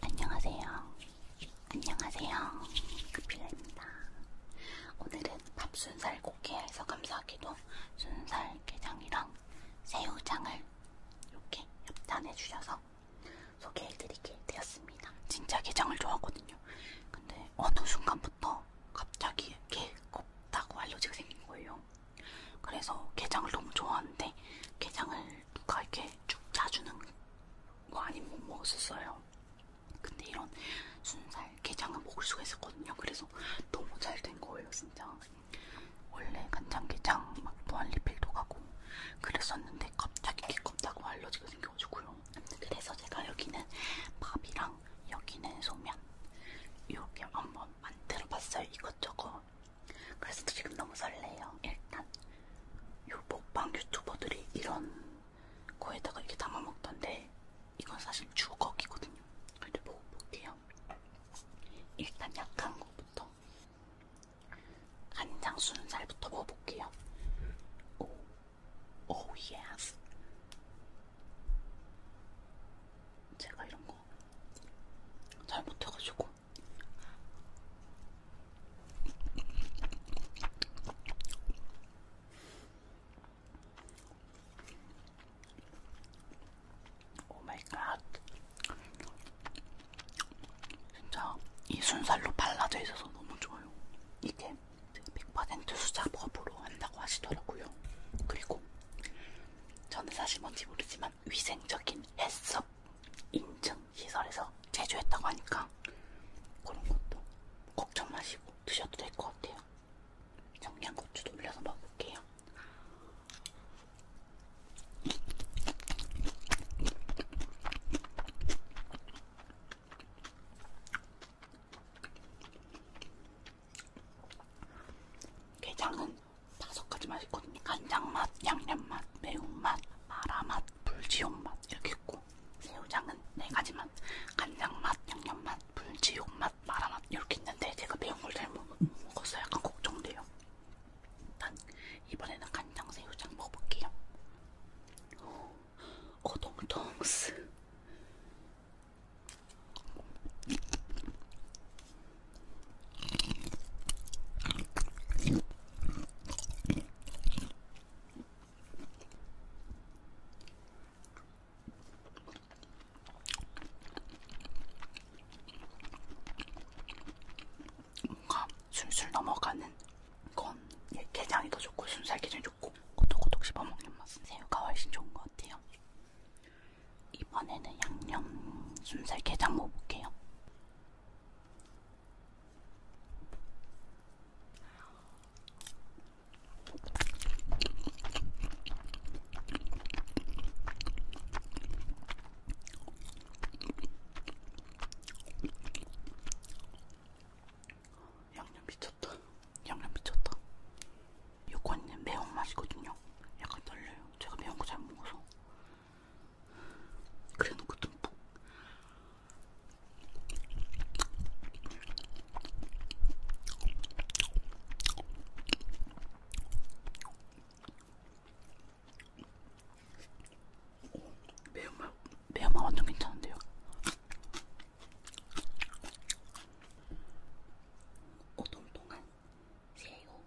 안녕하세요. 안녕하세요. 급필라입니다. 오늘은 밥순살 고기에서 감사하게도 순살 게장이랑 새우장을 이렇게 협찬해 주셔서 소개해드리게 되었습니다. 진짜 게장을 좋아하거든요. 근데 어느 순간부터 갑자기 게 곱다고 알러지가 생긴 거예요. 그래서 게장을 너무 좋아하는데 게장을 누가 이렇게 쭉 짜주는 거 아니면 못 먹었었어요. 근데 이런 순살 게장은 먹을 수가 있었거든요. 그래서 너무 잘 된 거예요, 진짜. 원래 간장게장 막 무한리필도 가고 그랬었는데 갑자기 개껍다고 알러지가 생겨가지고요. 그래서 제가 여기는 밥이랑 여기는 소면 이렇게 한번 만들어봤어요. 이것저것 그래서 지금 너무 설레요. 일단 요 먹방 유튜버들이 이런 거에다가 이렇게 담아먹던데 이건 사실 주걱이거든요. 근데 먹어볼게요. 뭐, 일단 약한 거부터 간장 순살부터 먹어볼게요. 오, 오 oh 예스. 제가 이런 거 잘 못해가지고 오마이갓 진짜 이 순살로 발라져 있어서 너무 좋아요 이게 100% 수작업으로 한다고 하시더라고요 그리고 저는 사실 뭔지 모르지만 위생적인 해썹 인증 시설에서 제조했다고 하니까 그런 것도 걱정 마시고 드셔도 될 것 같아요. 청양고추도 올려서 먹을게요. 게장은 다섯 가지 맛이 있거든요. 간장 맛, 양념 맛, 매운 맛, 마라 맛, 불지옥 맛 이렇게 있고 새우장은 네 가지 맛, 간장 맛, 양념 맛, 불지옥 맛, 마라 맛 이렇게 있는데 제가 매운 걸 잘 먹었어요. 약간 걱정돼요. 일단 이번에는 간장 새우장 먹어볼게요. 어동통스 뭔가 술술 넘어가는 건 예, 게장이 더 좋고 순살 게장이 좋고 꼬독꼬독 씹어먹는 맛은 새우가 훨씬 좋은 것 같아요. 이번에는 양념 순살 게장 먹어볼게요. 양념 미쳤다. 양념 미쳤다. 요거는 매운맛이거든요. 약간 떨려요. 제가 매운 거잘못 먹어서. 그래 놓고 듬뿍. 뭐. 매운맛, 매운맛 완전 괜찮은데요? 오동동안 어, 새우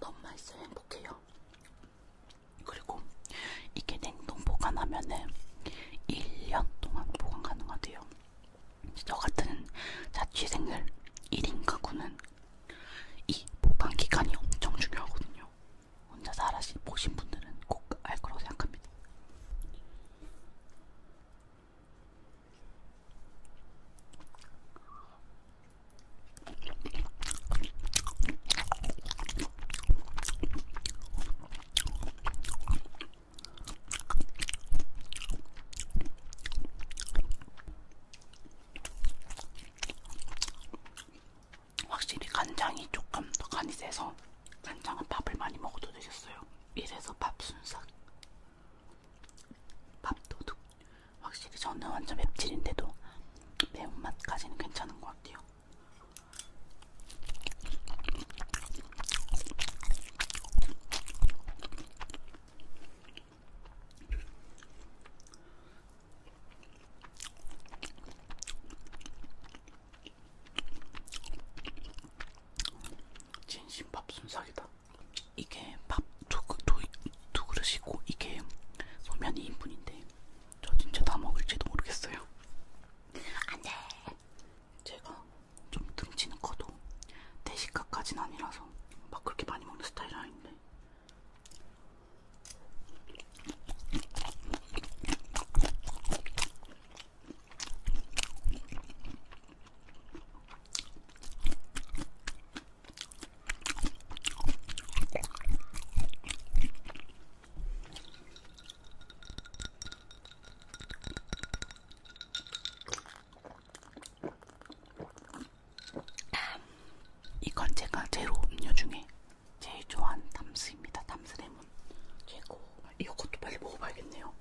너무 맛있어 행복해요. 그리고 이게 냉동 보관하면은 1년 동안 보관 가능하대요. 저 같은 자취생들 1인 가구는 이 보관 기간이 엄청 중요하거든요. 혼자 살아시 보신 분들은 꼭알 거라고 생각합니다. 확실히 간장이 조금 더 간이 세서 간장은 밥을 많이 먹어도 되겠어요. 이래서 밥 순삭, 밥도둑. 확실히 저는 완전 맵찔인데도 매운맛까지는 괜찮은 것 같아요. 진심 밥순삭이다. 이게 밥두 그, 그릇이고 이게 소면이 2인분인데 저 진짜 다 먹을지도 모르겠어요. 안돼. 제가 좀 등치는 커도 대식가까진 아니라서 막 그렇게 많이 먹는 스타일은 아닌데. 이건 제가 제로 음료 중에 제일 좋아하는 담스입니다. 담스레몬 최고. 이것도 빨리 먹어봐야겠네요.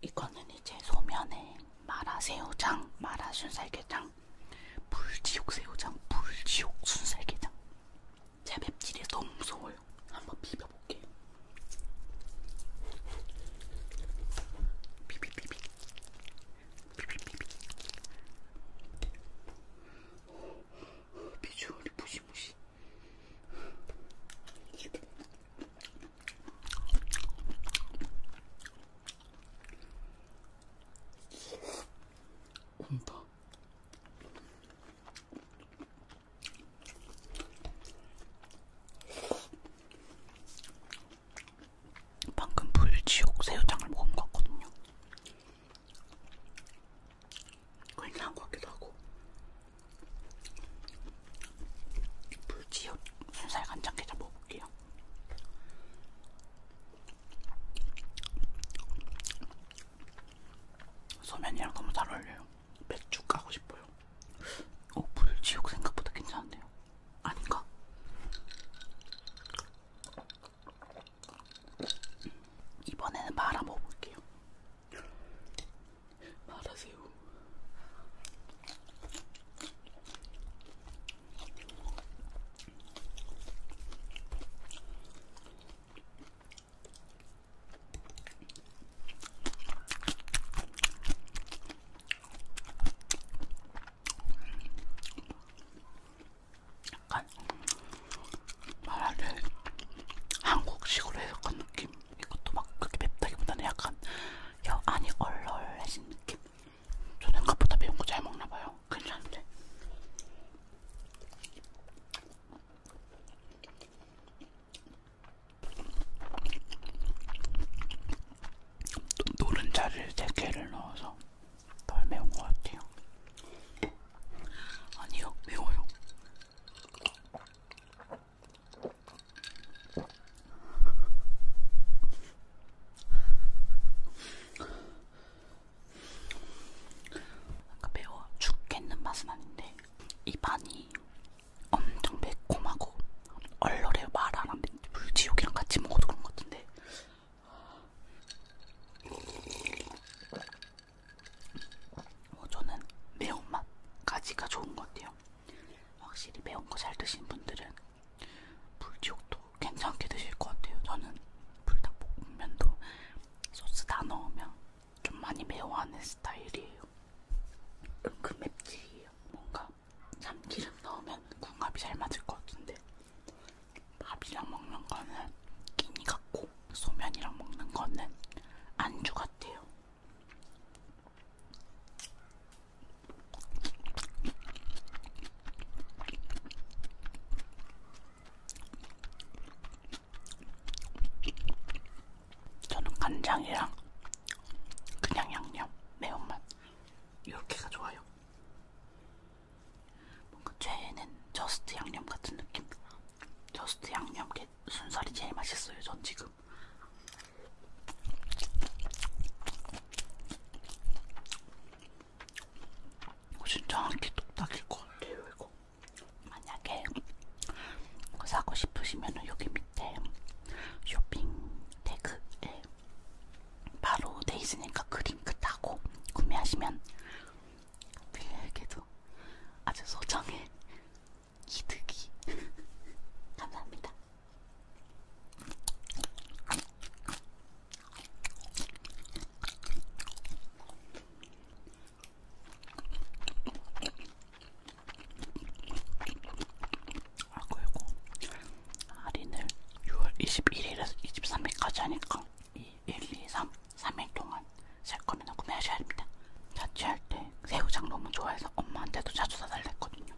이거는 이제 소면에 마라새우장, 마라순살게장, 불지옥새우장, 불지옥순살게장 제 맵찔이 너무 무서워요. 한번 비벼볼게요. 비비비비 비비비비 비주얼이 무시무시 온다. 방금 불지옥 새우장을 먹은 것 같거든요. 괜찮은 것 같기도 하고. 불지옥 순살 간장게장 먹어볼게요. 소면이랑 너무 잘 어울려요. 맥주 까고 싶어요. 어, 불지옥 생각보다 괜찮은데요? 아닌가? 이번에는 말아 먹어볼게요. 말하세요. 약간 말할 때 한국식으로 해석한 느낌. 이것도 막 그렇게 맵다기보다는 약간 혀 안이 얼얼해진 느낌. 저 생각보다 매운 거 잘 먹나 봐요. 괜찮은데. 노른자를 3개를 넣어서 덜 매운 것 같아요. 아니요, 매워요. 아까 매워 죽겠는 맛은 아닌데 이 반이 엄청 매콤하고 얼얼해요 말안 하면 불지옥이랑 같이 먹어도 그런 것 같은데 어, 저는 매운맛까지가 좋은 것 같아요. 확실히 매운 거 잘 드신 분들은 불지옥도 괜찮게 드실 것 같아요. 저는 불닭볶음면도 소스 다 넣으면 좀 많이 매워하는 스타일이에요. 은근 맵찔이에요. 뭔가 참기름 넣으면 궁합이 잘 맞을 것 같은데 밥이랑 먹는 거는 끼니 같고 소면이랑 먹는 거는 안주 같아요. 저는 간장이랑 그냥 양념 매운맛 이렇게가 좋아요. 뭔가 최애는 저스트 양념 같은 느낌. 저스트 양념 게 순살이 순살이 제일 맛있어요. 전 지금. 진짜 한끼 뚝딱일 것 같아요. 이거 만약에 사고 싶으시면은 여기 밑에 쇼핑 태그에 바로 돼 있으니까 그 링크 타고 구매하시면 빌리에게도 아주 소정의 기특이 감사합니다. 아 그리고 할인을 6월 21일에서 23일까지 하니까 이 1, 2, 3 3일 동안 살 거면 구매하셔야 됩니다. 자취할 때 새우장 너무 좋아해서 엄마한테도 자주 사달라 했거든요.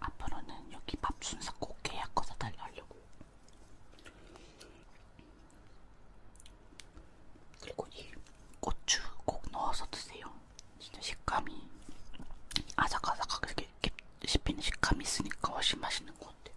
앞으로는 여기 밥 순서 꼭 계약 거 사달라 하려고. 그리고 이 고추 꼭 넣어서 드세요. 진짜 식감이 아삭아삭하게 씹히는 식감이 있으니까 훨씬 맛있는 것 같아요.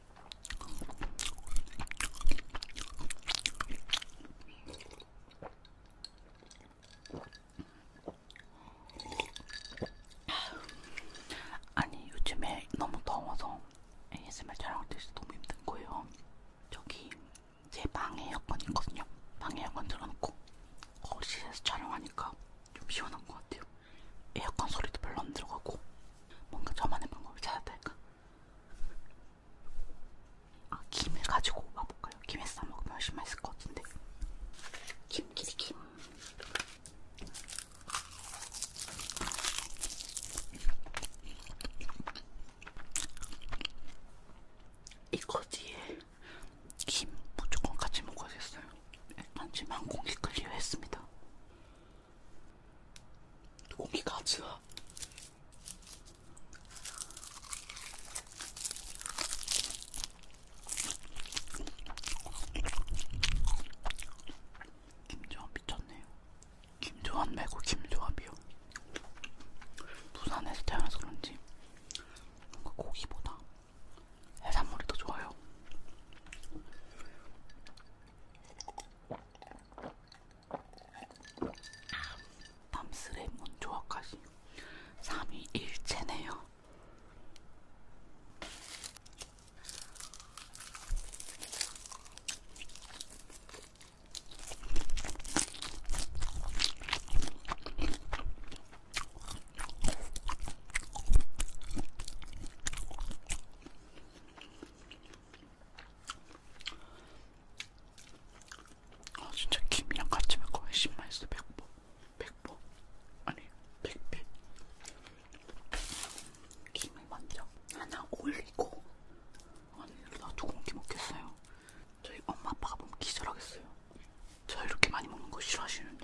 아니 요즘에 너무 더워서 ASMR 촬영할 때 너무 힘든 거예요. 저기 제 방에 에어컨 있거든요. 방에 에어컨 들어놓고 거실에서 촬영하니까 좀 시원한 것 같아요. 에어컨 소리도 별로 안 들어가고 뭔가 저만의 방법을 찾았달까 아 김을 가지고 와볼까요? 김에 싸먹으면 훨씬 맛있을 것 같은데 김끼리 김 이거 뒤에 김 무조건 같이 먹어야겠어요 일단 네, 지금 한 공기 클리어 했습니다 공기 같이 나. 김조한 미쳤네요. 김조한 말고 김조합이요. 부산에서 태어나서 그런지 뭔가 고기보다 해산물이 더 좋아요. 밤스레 문조화까지 3위 일체네요. 아 진짜 김이랑 같이 먹고 거의 10만했어 백보 백보 아니 백배 김을 먼저 하나 올리고 아니 나두 공기 먹겠어요 저희 엄마 아빠가 보면 기절하겠어요 저 이렇게 많이 먹는 거 싫어하시는데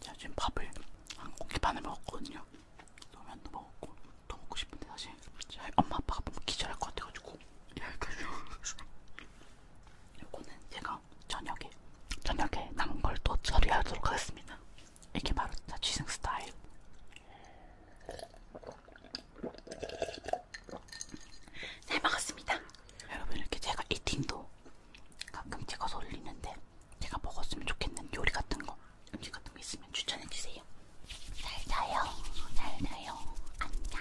제가 지금 밥을 한 공기 반을 먹었거든요. 라면도 먹었고 더 먹고 싶은데 사실 제가 엄마 아빠가 보면 기절할 것 같아가지고 이렇게 예, 해서 이거는 제가 제가 저녁에 저녁에 남은 걸 또 처리하도록 하겠습니다. 이게 바로 자취생 스타일. 잘 먹었습니다. 여러분 이렇게 제가 이팅도 가끔 찍어서 올리는데 제가 먹었으면 좋겠는 요리 같은 거 음식 같은 거 있으면 추천해 주세요. 잘 자요. 잘 자요. 안녕.